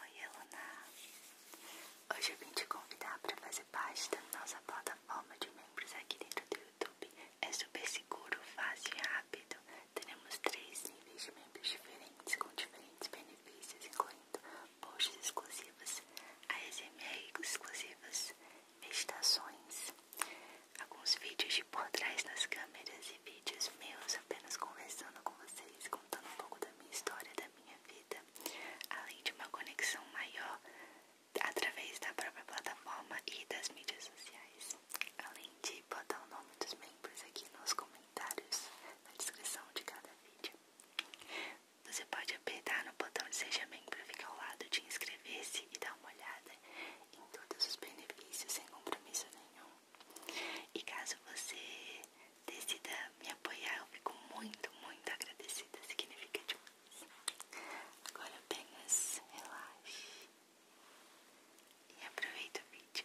Oi, Eluna! Hoje eu vim te convidar para fazer parte da nossa plataforma de membros aqui dentro do YouTube. É super seguro, fácil e rápido. Teremos três níveis de membros diferentes com diferentes benefícios, incluindo posts exclusivos, ASMR exclusivas, meditações, alguns vídeos de por trás das câmeras e vídeos meus apenas conversando com vocês contando um pouco da minha história, da minha vida, além de uma conexão maior através da própria plataforma e das mídias sociais. Além de botar o nome dos membros aqui nos comentários, na descrição de cada vídeo. Você pode apertar no botão de Seja Membro, fica ao lado de inscrever-se e dar uma olhada em todos os benefícios sem compromisso nenhum. E caso você decida me apoiar, eu fico muito, muito agradecida. Significa demais. Agora apenas relaxe e aproveita o vídeo.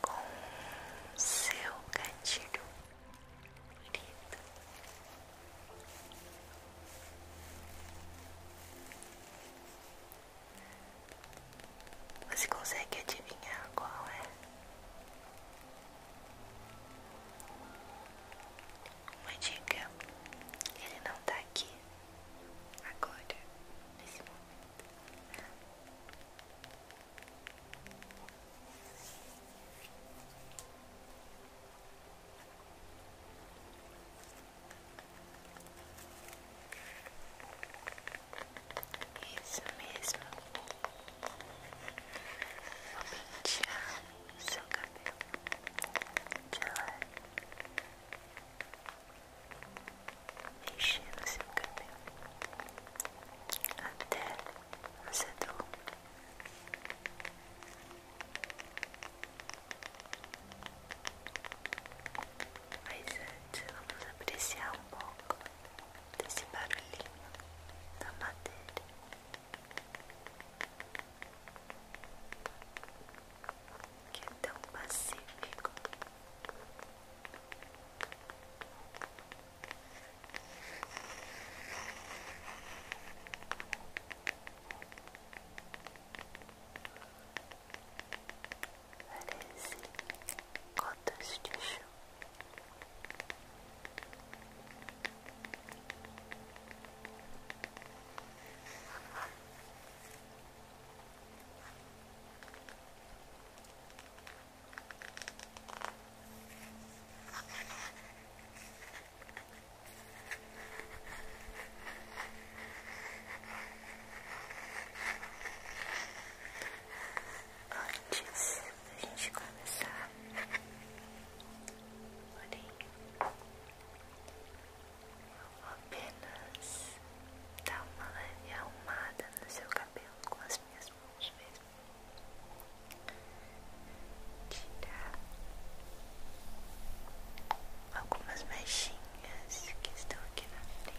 com seu gatilho bonito. Você consegue adivinhar qual é? Uma dica: ele não tá aqui agora, nesse momento. Isso mesmo. Vou pentear o seu cabelo de lado enchendo seu cabelo até você dormir. Mas antes, vamos apreciar um pouco desse barulhinho da madeira que é tão pacífico. Parece cotas de chuva. Antes a gente começar, porém, ou apenas dar uma leve arrumada no seu cabelo com as minhas mãos mesmo. Tirar algumas mechinhas que estão aqui na frente.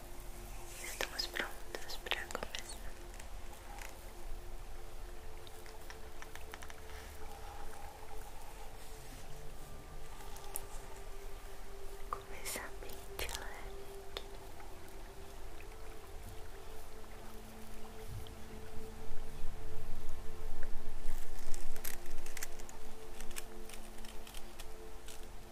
Estamos prontos para começar. Começar bem de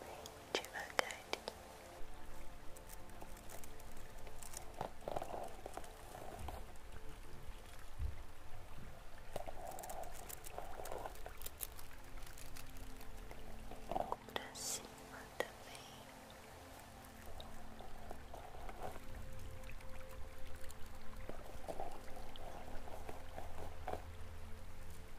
bem devagar. Pra cima também. Bem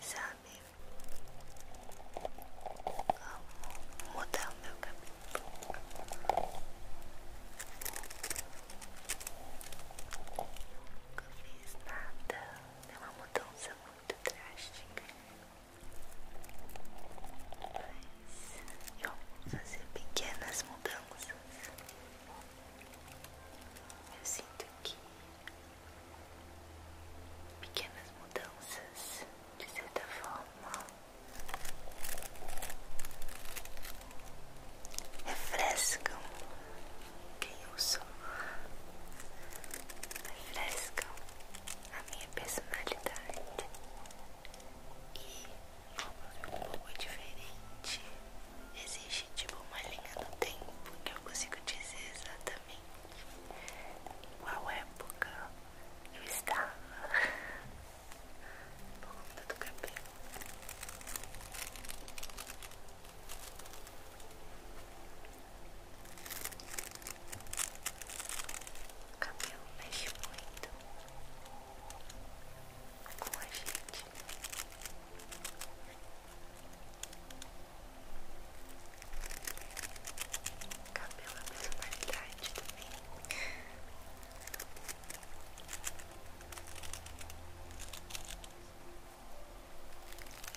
Sabe, vou mudar o meu cabelo. Nunca fiz nada, nenhuma mudança muito drástica, mas fazer pequenas mudanças. Eu sinto que pequenas mudanças, de certa forma, refrescam quem eu sou, refrescam a minha personalidade e como um pouco diferente existe tipo uma linha do tempo que eu consigo dizer exatamente em qual época eu estava por conta do cabelo cabelo mexe muito com a gente. cabelo é personalidade também.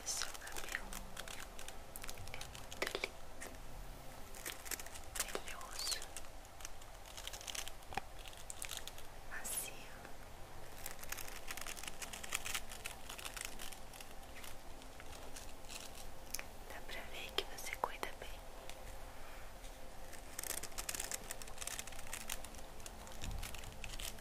E seu cabelo é muito lindo, brilhoso, macio. Dá pra ver que você cuida bem.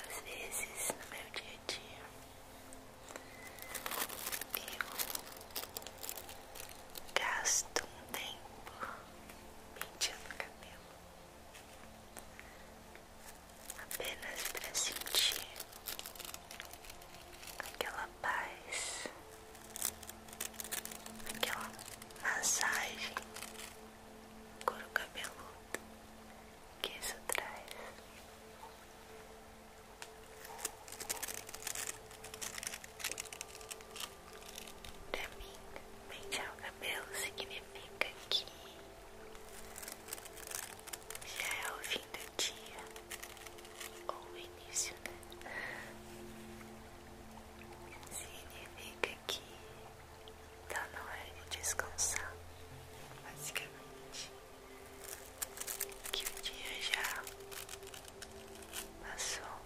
Às vezes no meu dia a dia eu gasto um tempo mentindo o cabelo apenas para sentir aquela paz, aquela massagem couro cabeludo que isso traz. Pra mim, pentear o cabelo significa que já é o fim do dia ou o início, né? Significa que tá na hora de descansar, basicamente. Que o dia já passou,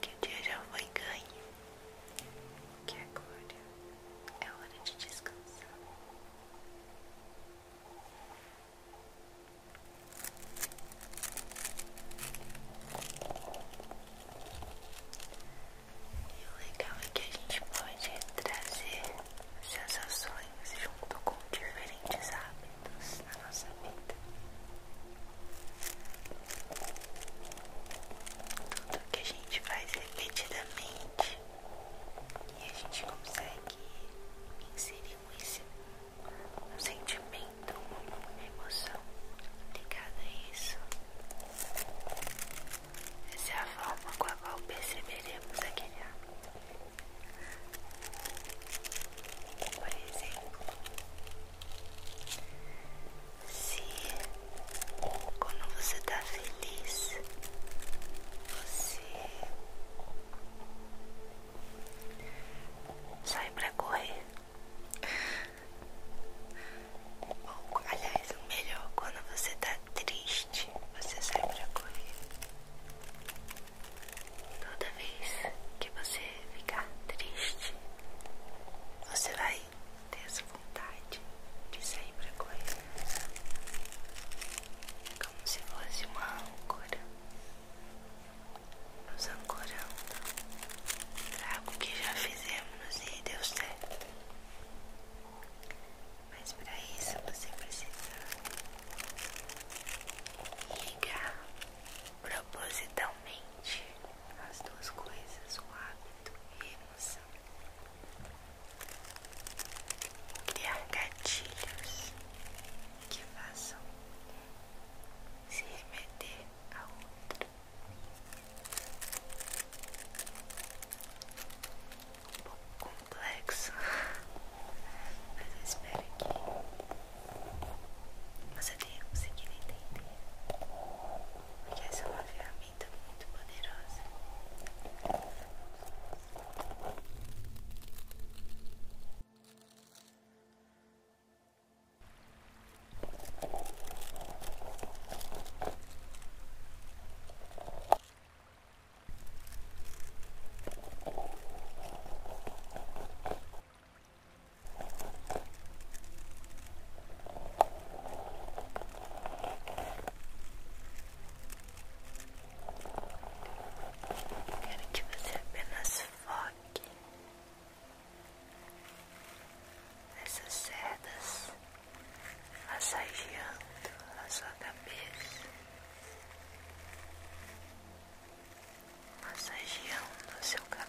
que o dia já foi ganho, que agora é hora de descansar. E o legal é que a gente pode trazer sensações junto com diferentes hábitos na nossa vida. Tudo que a gente faz repetidamente e a gente consegue inserir um sentimento, uma emoção ligada a isso. Essa é a forma com a qual perceberemos aquele hábito. Por exemplo, se quando você tá feliz, você sai pra correr. Ou, aliás, o melhor, quando você tá triste, você sai pra correr. Toda vez que você ficar triste, você vai ter essa vontade de sair pra correr como se fosse uma âncora, nos ancorando para algo que já fizemos e deu certo. Mas para isso você precisa ligar propositalmente as duas coisas, o hábito e a emoção há gatilhos que façam se meter a outro. Um pouco complexo, mas eu espero que você tenha conseguido entender. Porque essa é uma ferramenta muito, poderosa. Quero que você apenas foque nessas cerdas massageando a sua cabeça, massageando o seu cabelo.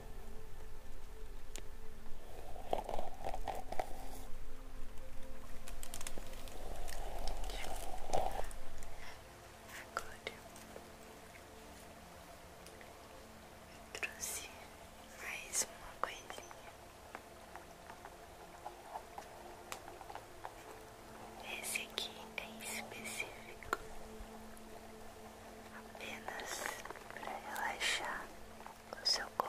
Agora trouxe mais uma coisinha. Esse aqui é específico apenas para relaxar o seu couro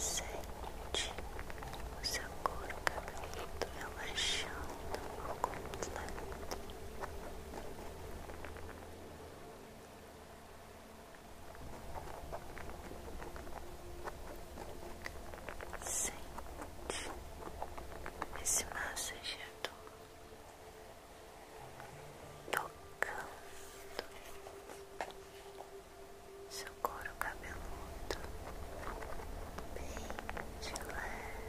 Sente o seu couro cabeludo relaxando por completo. Sente esse massageador tocando seu couro cabeludo bem de leve.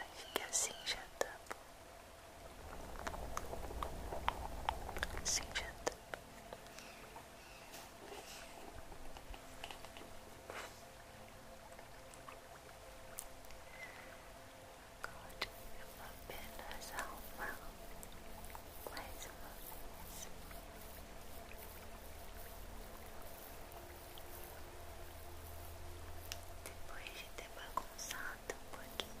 Acho que assim já tá bom. Assim já tá bom. Agora eu vou apenas arrumar mais uma vez. Depois de ter bagunçado um pouquinho,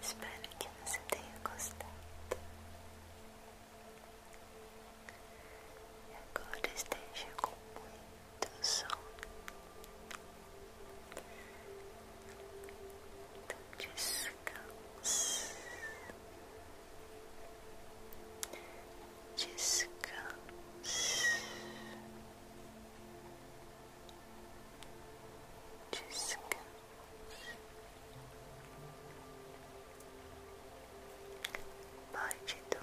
Espero que você tenha gostado. E agora esteja com muita do sol. Então descansa, descansa, descansa. Parte do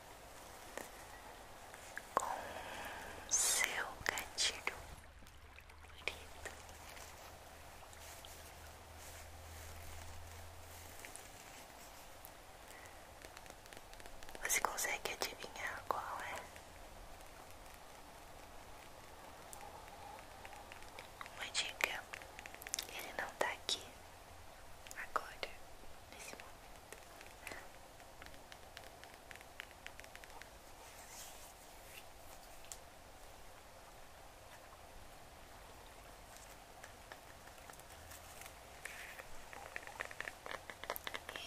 com seu gatilho favorito. Você consegue adivinhar qual é? Uma dica: ele não tá aqui agora, nesse momento.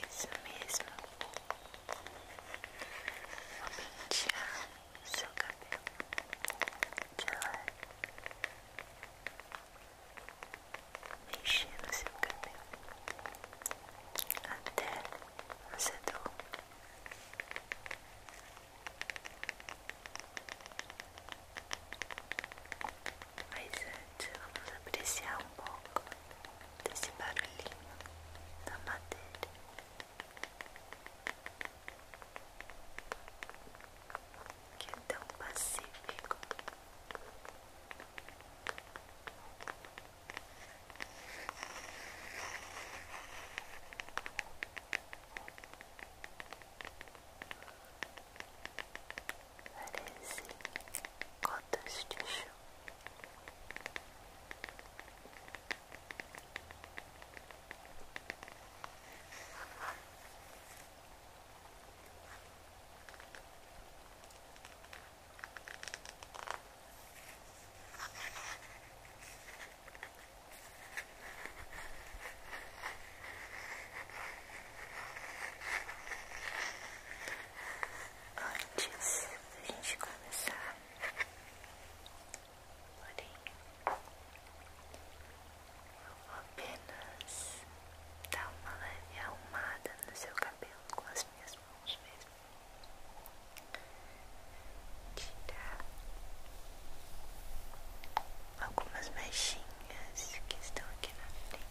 Isso mesmo. Vou pentear seu cabelo de lado mexendo seu cabelo até você dormir. Mas antes vamos apreciar um pouco desse barulhinho da madeira que é tão pacífico. Parece gotas de chuva. Antes da gente começar, porém, apenas dar uma leve arrumada no seu cabelo com as minhas mãos mesmo. Tirar algumas mechinhas que estão aqui na frente.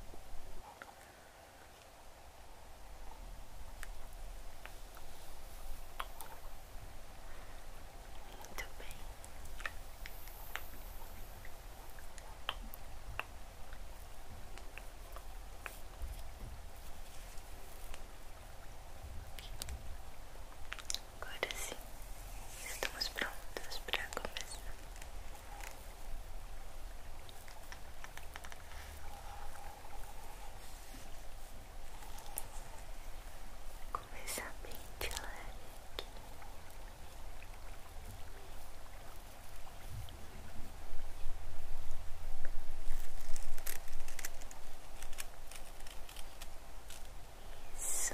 Muito bem. Agora sim, estamos prontos para começar. Começar bem de aqui. Isso.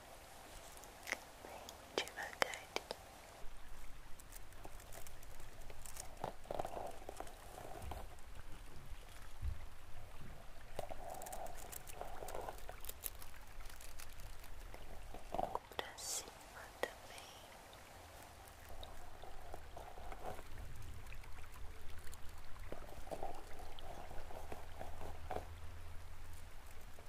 bem devagar. Pra cima também. Bem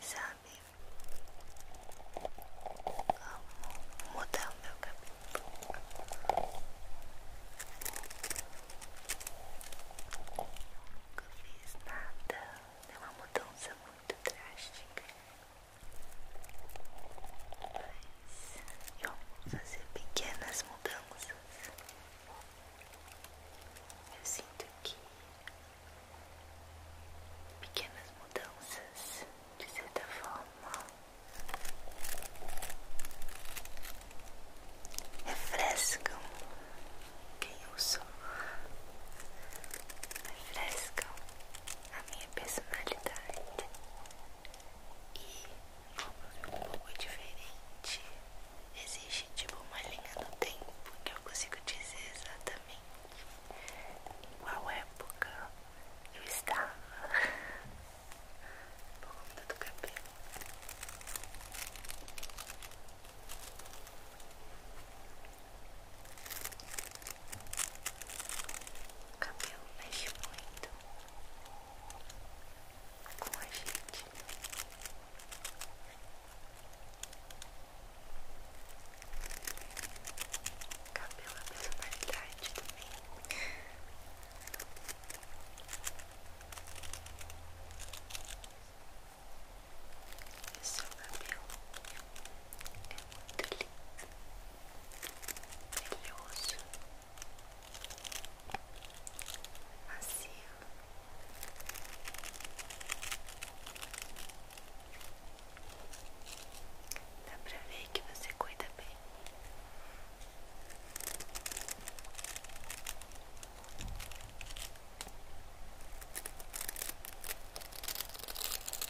Sabe como mudar o meu cabelo? Nunca fiz nada, é uma mudança muito drástica. Mas eu vou fazer pequenas mudanças. Eu sinto que pequenas mudanças, de certa forma, refrescam quem eu sou, refrescam a minha personalidade e como um pouco diferente existe tipo uma linha do tempo que eu consigo dizer exatamente em qual época eu estava por conta do cabelo o cabelo mexe muito com a gente. Cabelo é personalidade também. Esse seu é cabelo muito macio. Dá pra ver que você cuida bem.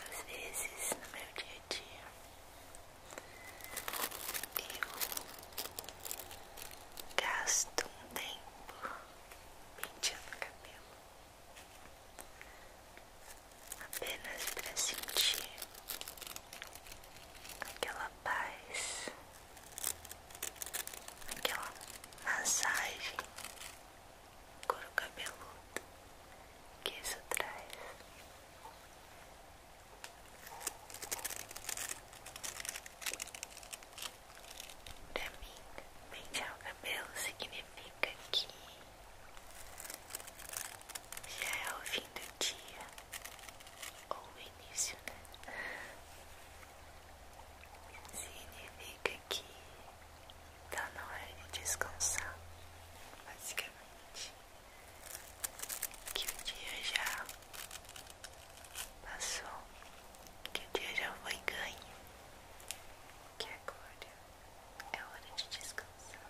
Às vezes no meu dia a dia eu gasto um tempo penteando o cabelo apenas para sentir aquela paz, aquela massagem coro cabeludo que isso traz. Pra mim, pentear o cabelo significa que já é o fim do dia ou o início, né? Significa que tá na hora de descansar, basicamente. Que o dia já passou, que o dia já foi ganho, que agora é hora de descansar.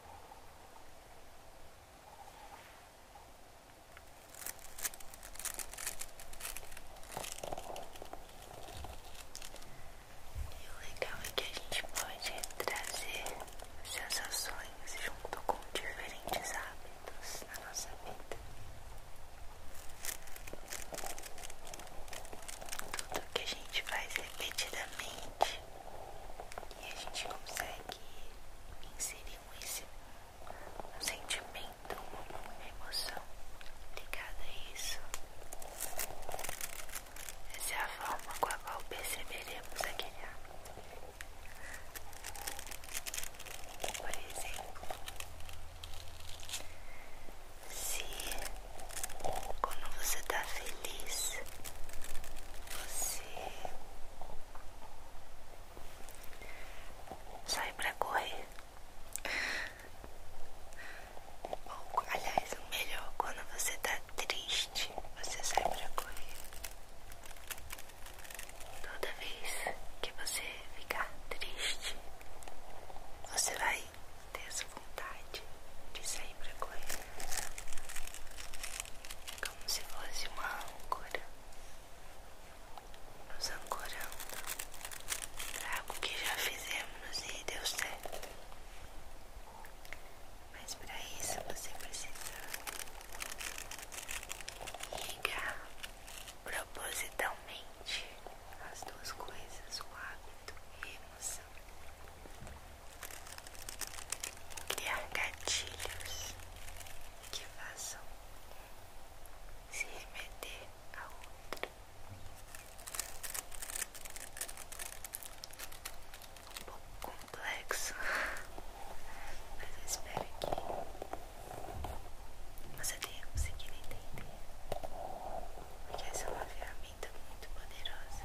E o legal é que a gente pode trazer sensações junto com diferentes hábitos na nossa vida. Tudo que a gente faz repetidamente e a gente consegue inserir esse, um sentimento, uma emoção ligada a isso. Essa é a forma com a qual perceberemos aquele hábito. Por exemplo, se quando você está feliz, você sai pra correr. Bom, aliás, o melhor quando você tá triste, você sai pra correr. Toda vez que você ficar triste, você vai ter essa vontade de sair pra correr como se fosse uma âncora, nos ancorando para algo que já fizemos e deu certo. Mas para isso você precisa ligar propositalmente as duas coisas, o hábito e a emoção criar gatilhos que façam se remeter a outro. Um pouco complexo, mas eu espero que você tenha conseguido entender, porque essa é uma ferramenta muito poderosa.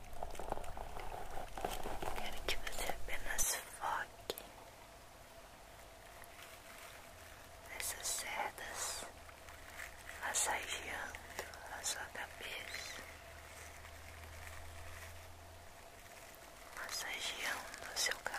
quero que você apenas foque nessas cerdas massageando a sua cabeça, massageando o seu cabelo.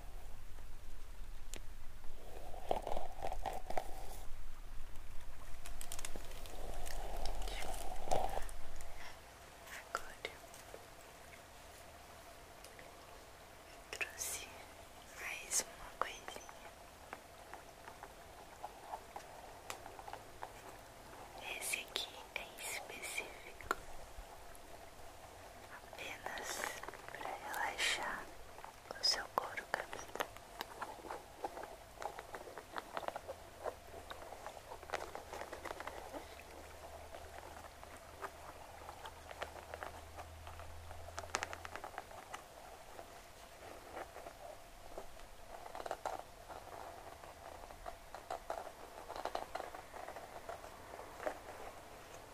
Agora trouxe mais uma coisinha. Esse aqui é específico apenas para relaxar o seu couro cabeludo.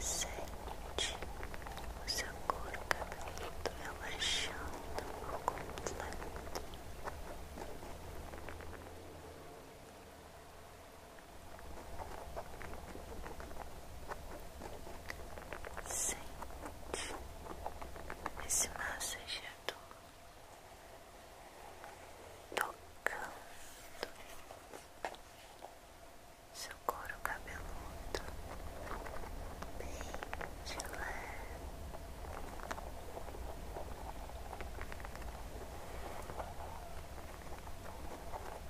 Sente o seu couro cabeludo relaxando por completo. Sente esse massageador tocando seu couro cabeludo bem de leve.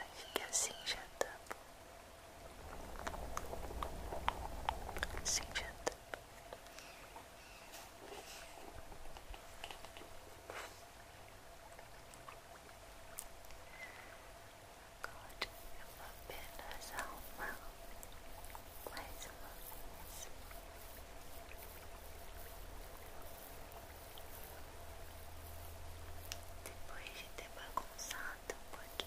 Acho que é assim já tá bom. Assim já tá bom. Agora eu vou apenas arrumar mais uma vez. Depois de ter bagunçado um pouquinho.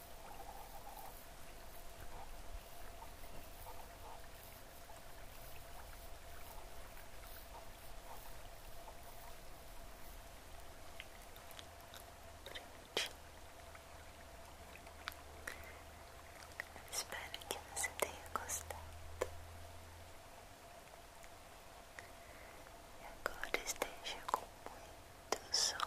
Espero que você tenha gostado. E agora esteja com muito sono.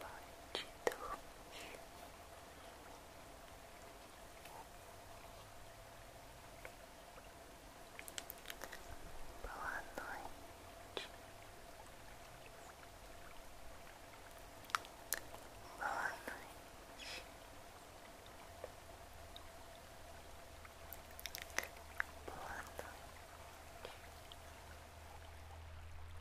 pode dormir. Boa noite. Boa noite. Boa noite.